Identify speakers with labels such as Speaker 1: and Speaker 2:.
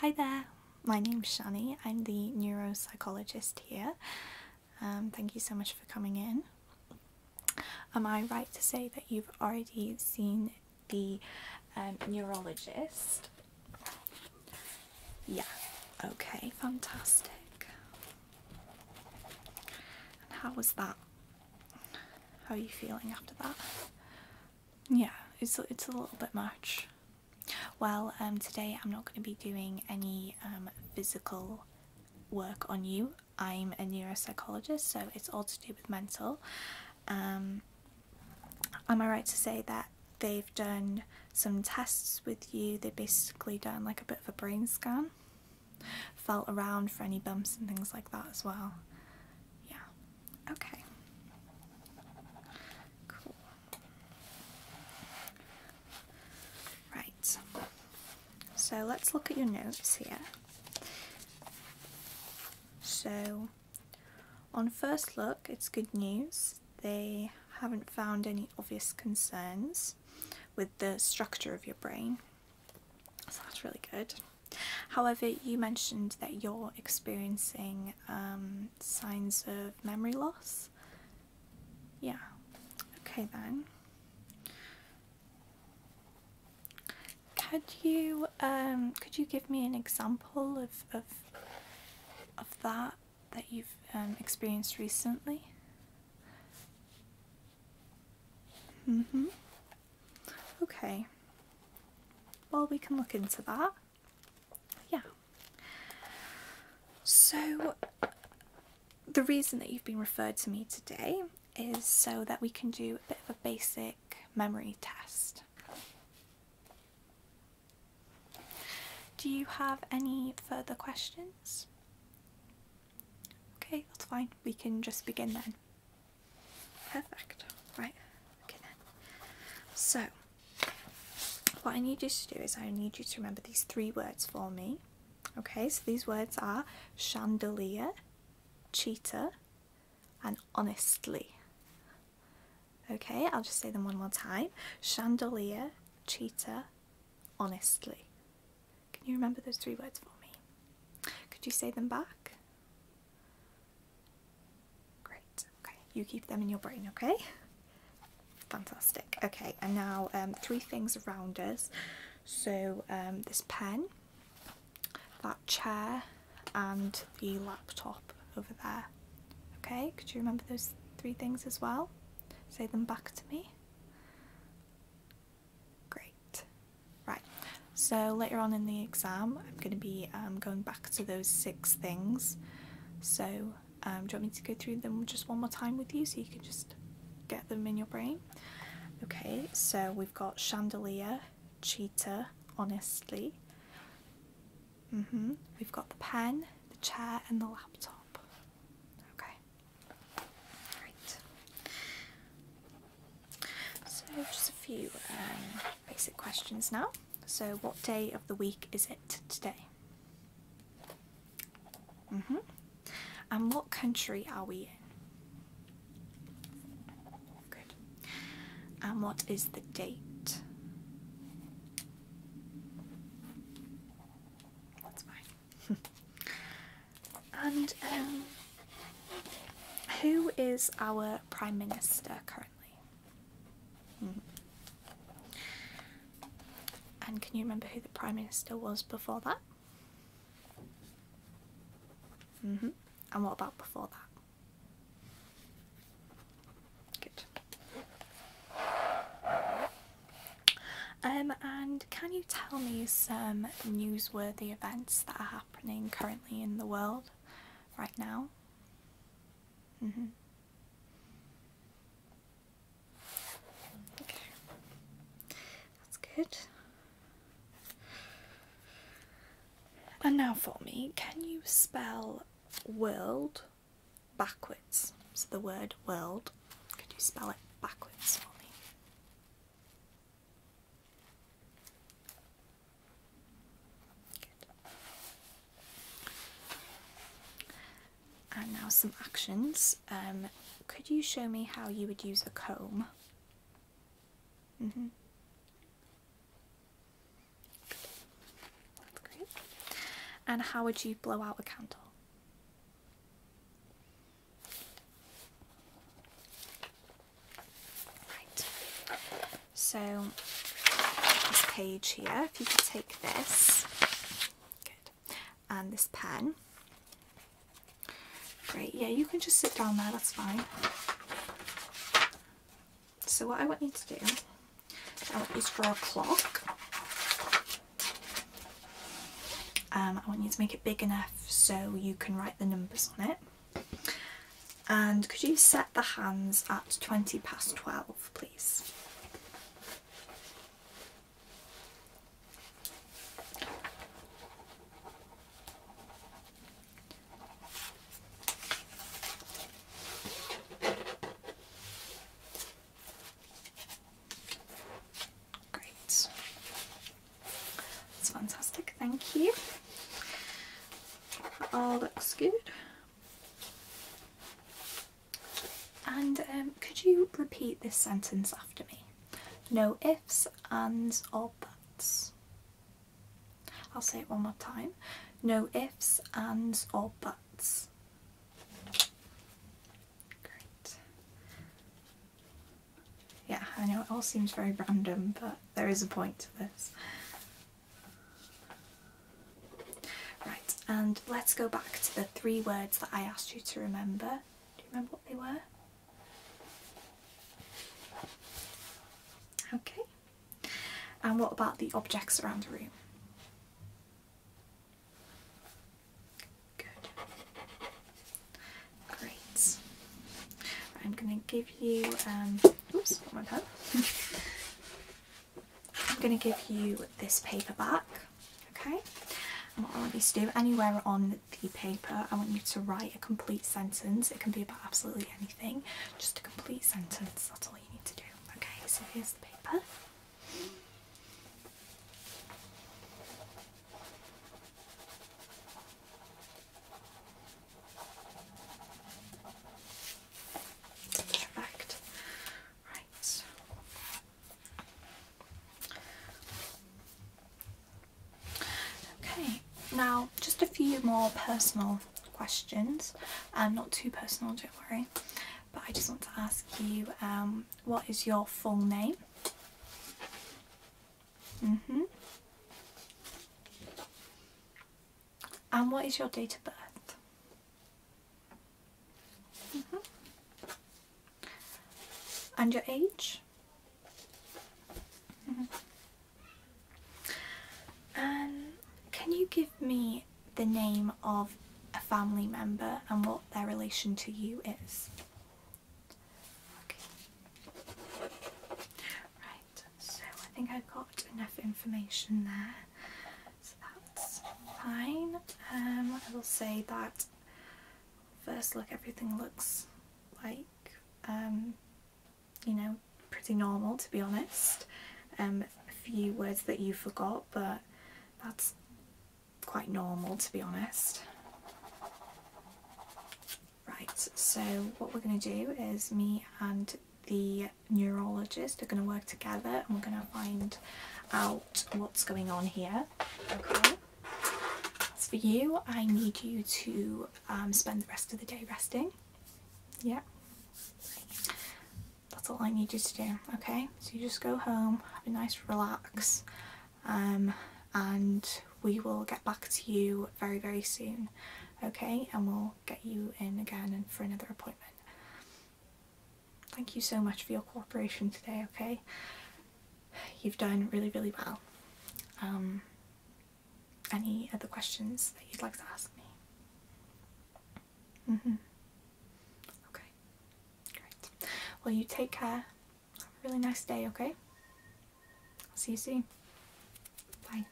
Speaker 1: Hi there, my name's Shani. I'm the neuropsychologist here. Um, thank you so much for coming in. Am I right to say that you've already seen the um, neurologist? Yeah, okay, fantastic how was that? How are you feeling after that? Yeah, it's it's a little bit much. Well, um, today I'm not going to be doing any um, physical work on you. I'm a neuropsychologist, so it's all to do with mental. Um, am I right to say that they've done some tests with you? They've basically done like a bit of a brain scan felt around for any bumps and things like that as well. Yeah. Okay. Cool. Right. So let's look at your notes here. So, on first look, it's good news. They haven't found any obvious concerns with the structure of your brain, that's really good. However, you mentioned that you're experiencing um, signs of memory loss. Yeah, okay then. Could you um, could you give me an example of of of that? that you've um, experienced recently? Mm hmm. Okay. Well, we can look into that. Yeah. So, the reason that you've been referred to me today is so that we can do a bit of a basic memory test. Do you have any further questions? Okay, that's fine. We can just begin then. Perfect. Right. Okay then. So, what I need you to do is I need you to remember these three words for me. Okay, so these words are chandelier, cheetah, and honestly. Okay, I'll just say them one more time. Chandelier, cheetah, honestly. Can you remember those three words for me? Could you say them back? Great. Okay, you keep them in your brain, okay? Fantastic. Okay, and now um, three things around us. So um, this pen, that chair, and the laptop over there. Okay, could you remember those three things as well? Say them back to me. Great. Right, so later on in the exam, I'm going to be um, going back to those six things. So, um, do you want me to go through them just one more time with you so you can just get them in your brain? Okay, so we've got chandelier, cheetah, honestly, Mm hmm We've got the pen, the chair, and the laptop. Okay. Right. So just a few um, basic questions now. So what day of the week is it today? Mm hmm And what country are we in? Good. And what is the date? and um, who is our Prime Minister currently? Mm-hmm. And can you remember who the Prime Minister was before that? Mm -hmm. And what about before that? Good. Um, and can you tell me some newsworthy events that are happening currently in the world right now? Mm-hmm. that's good. And now for me, can you spell world backwards? So the word world, could you spell it backwards for me? Good. And now some actions. Um, could you show me how you would use a comb? Mm hmm That's great. And how would you blow out a candle? Right. So this page here, if you could take this, good, and this pen, Great, yeah, you can just sit down there, that's fine. So what I want you to do, is draw a clock. Um, I want you to make it big enough so you can write the numbers on it. And could you set the hands at 20 past 12, please? Great. That's fantastic, thank you. all looks good. And um, could you repeat this sentence after me? No ifs, ands or buts. I'll say it one more time. No ifs, ands or buts. Great. Yeah, I know it all seems very random, but there is a point to this. Right, and let's go back to the three words that I asked you to remember. Do you remember what they were? Okay. And what about the objects around the room? Good. Great. I'm going to give you. Um, oops, my pen. I'm going to give you this paperback okay? I want you to do anywhere on the paper, I want you to write a complete sentence. It can be about absolutely anything, just a complete sentence. That's all you need to do. Okay, so here's the paper. Perfect. Right. Okay, now just a few more personal questions. Um, not too personal, don't worry. But I just want to ask you, um, what is your full name? Mhm. and what is your date of birth? Mm-hmm. And your age? Mm can you give me the name of a family member and what their relation to you is? Right, so I think I've got enough information there that's fine. Um, I will say that first look everything looks like um, you know pretty normal to be honest. Um, a few words that you forgot but that's quite normal to be honest. Right, so what we're going to do is me and the neurologist are going to work together and we're going to find out what's going on here. Okay. As for you, I need you to um, spend the rest of the day resting. Yeah. That's all I need you to do. Okay. So you just go home, have a nice relax, um, and we will get back to you very, very soon. Okay. And we'll get you in again and for another appointment. Thank you so much for your cooperation today, okay? You've done really, really well. Um, any other questions that you'd like to ask me? Mm hmm. Okay. Great. Well, you take care. Have a really nice day, okay? I'll see you soon. Bye.